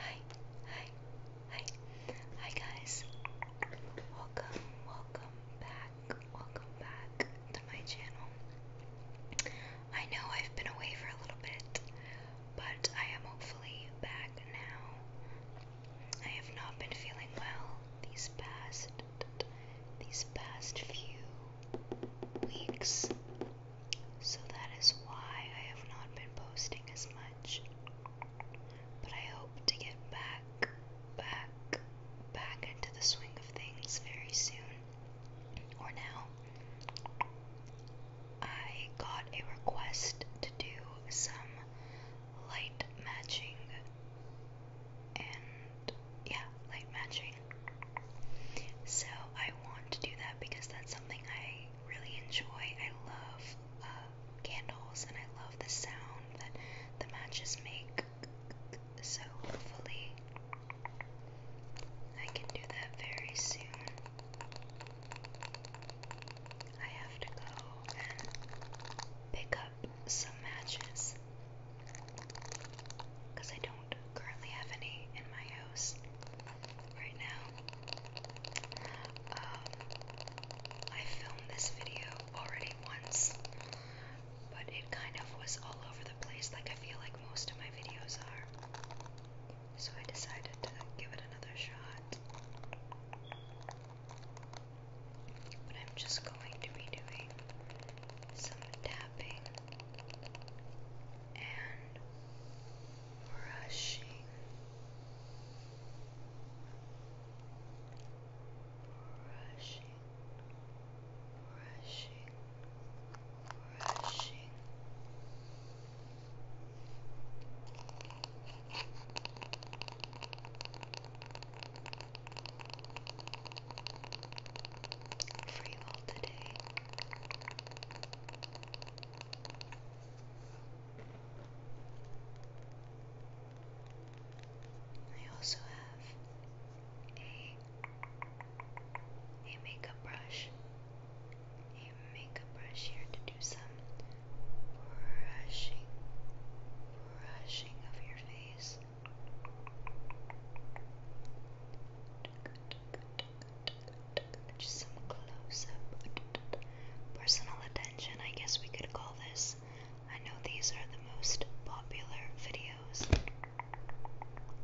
Hi, hi, hi, hi guys. Welcome, welcome back, welcome back to my channel. I know I've been away for a little bit, but I am hopefully back now. I have not been feeling well these past these past few weeks so that is why I have not been posting as much. But I hope to get back, back, back into the swing of things very soon. Or now. I got a request to do some light matching. And yeah, light matching so I want to do that because that's something I really enjoy. I love uh, candles and I love the sound that the matches make. So hopefully I can do that very soon. I have to go and pick up some matches because I don't currently have any in my house right now. Um, I filmed this video already once, but it kind of was all over the place, like I feel like most of my videos are. So I decided to give it another shot. But I'm just going to be doing some tapping tapping and brushing. Brushing, brushing, brushing. Brushing, for you today. I also have a a makeup brush. A makeup brush here to do some brushing brushing of your face. Just some close up personal attention, I guess we could call this. I know these are the most popular videos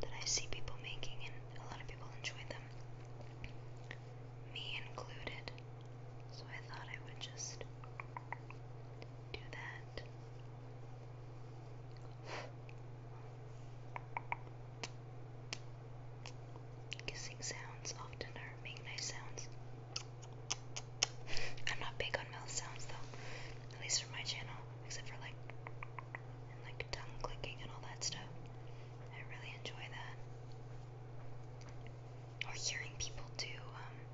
that I see people making, and a lot of people enjoy them, me included. So I thought I would just do that. Kissing sounds often are make nice sounds. I'm not big on mouth sounds though, at least for my channel, except for like like tongue clicking and all that stuff. I really enjoy that. Or hearing people do um,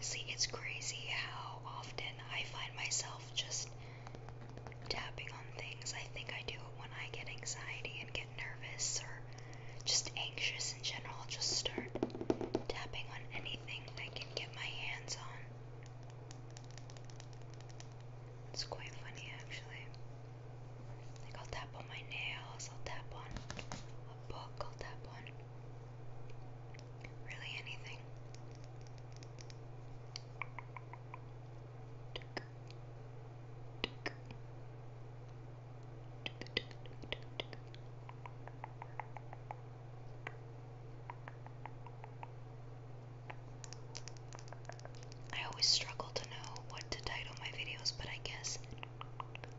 See, it's crazy how often I find myself just tapping on things. I think I do it when I get anxiety and get nervous or just anxious in general. I'll just start tapping on anything I can get my hands on. It's quite funny actually. Like I'll tap on my nails, I'll tap on a book, I'll tap on really anything. I always struggle to know what to title my videos, but I guess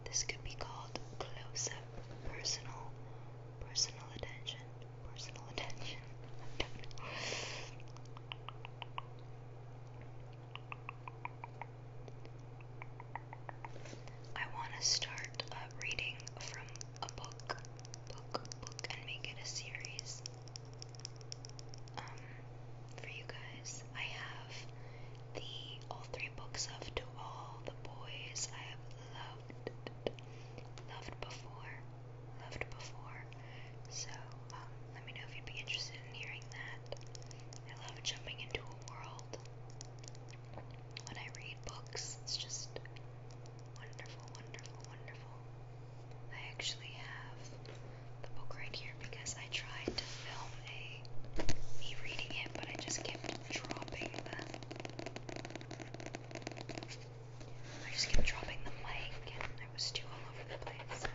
this could be called close up personal personal attention. Personal attention. I don't know. I want to start uh, reading from a book book, book, and make it a series um, for you guys. I have the all three books of To All the Boys I Have Loved, Loved Before, Loved Before. So um, let me know if you'd be interested in hearing that. I love jumping into a world. When I read books, it's just wonderful, wonderful, wonderful. I actually have the book right here because I tried to film a me reading it, but I just kept dropping the I just kept dropping the mic and I was too all over the place.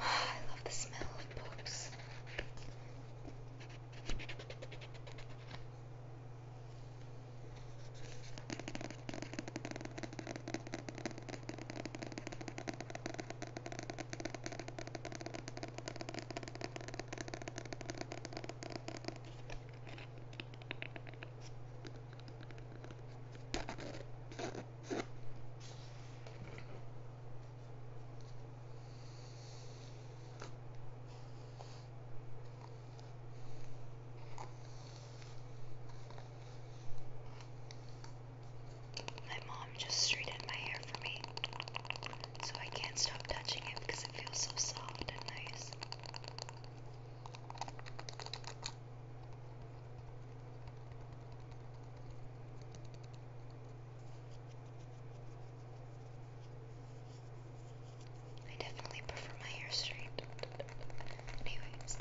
I love the smell of poops. My mom just straightened my hair for me, so I can't stop touching it because it feels so soft and nice. I definitely prefer my hair straight. Anyways.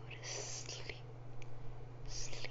Go to sleep, sleep,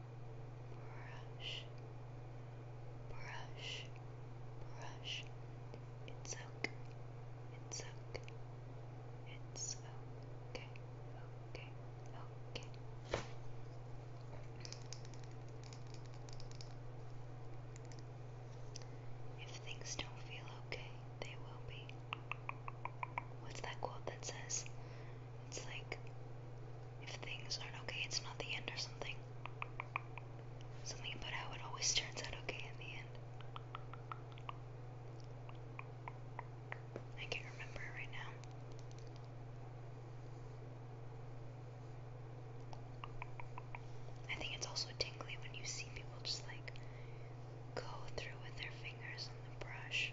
brush, brush, brush. It's okay, it's okay, it's okay, okay, okay. If things don't feel okay, they will be. What's that quote that says, it's like if things aren't okay, it's not the end or something. Something about how it always turns out okay in the end. I can't remember right now. I think it's also tingly when you see people just like go through with their fingers on the brush.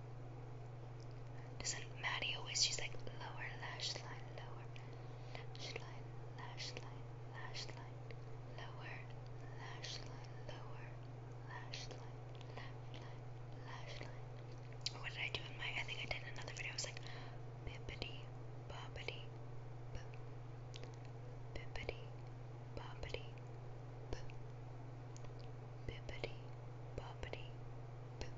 Doesn't Maddie always? She's like lower lash line, lower lash line, lash line, lash line, lower lash line, lower lash line, lash line, lash line. What did I do in my? I think I did another video. I was like bippity boppity, bippity boppity, b, bippity boppity bip.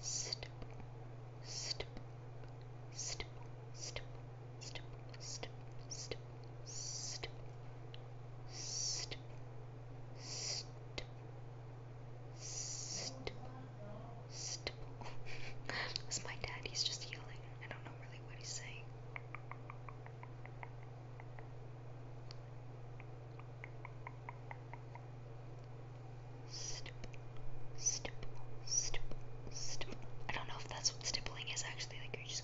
Stip, stip, stip, stip, stop, stop, stop, stop, stop, stop, stop, stop. That's my dad, he's just yelling. I don't know really what he's saying. Stipple, stipple, stipple, stipple. I don't know if that's what stippling is actually, like you're just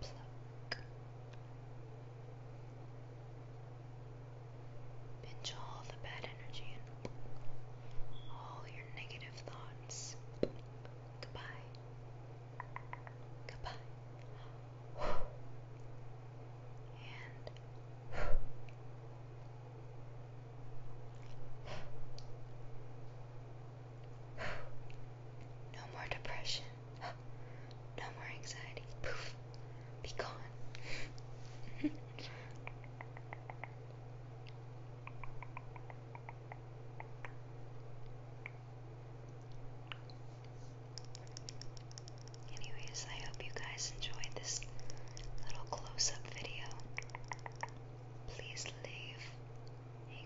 Pluck. Pinch all the bad energy and all your negative thoughts. Goodbye. Goodbye. And no more depression. No more anxiety. Poof. Be gone. Anyways, I hope you guys enjoyed this little close up video. Please leave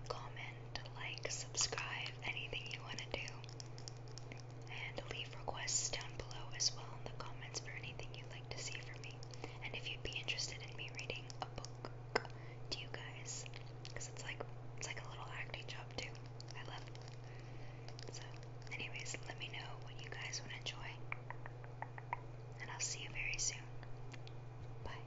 comment, like, subscribe, anything you want to do. And leave requests down below as well in the comments for anything you'd like to see from me. And if you'd be interested in me reading a book to you guys, because it's like it's like a little acting job too. I love it. So, anyways, let me know what you guys would enjoy. And I'll see you very soon. Bye.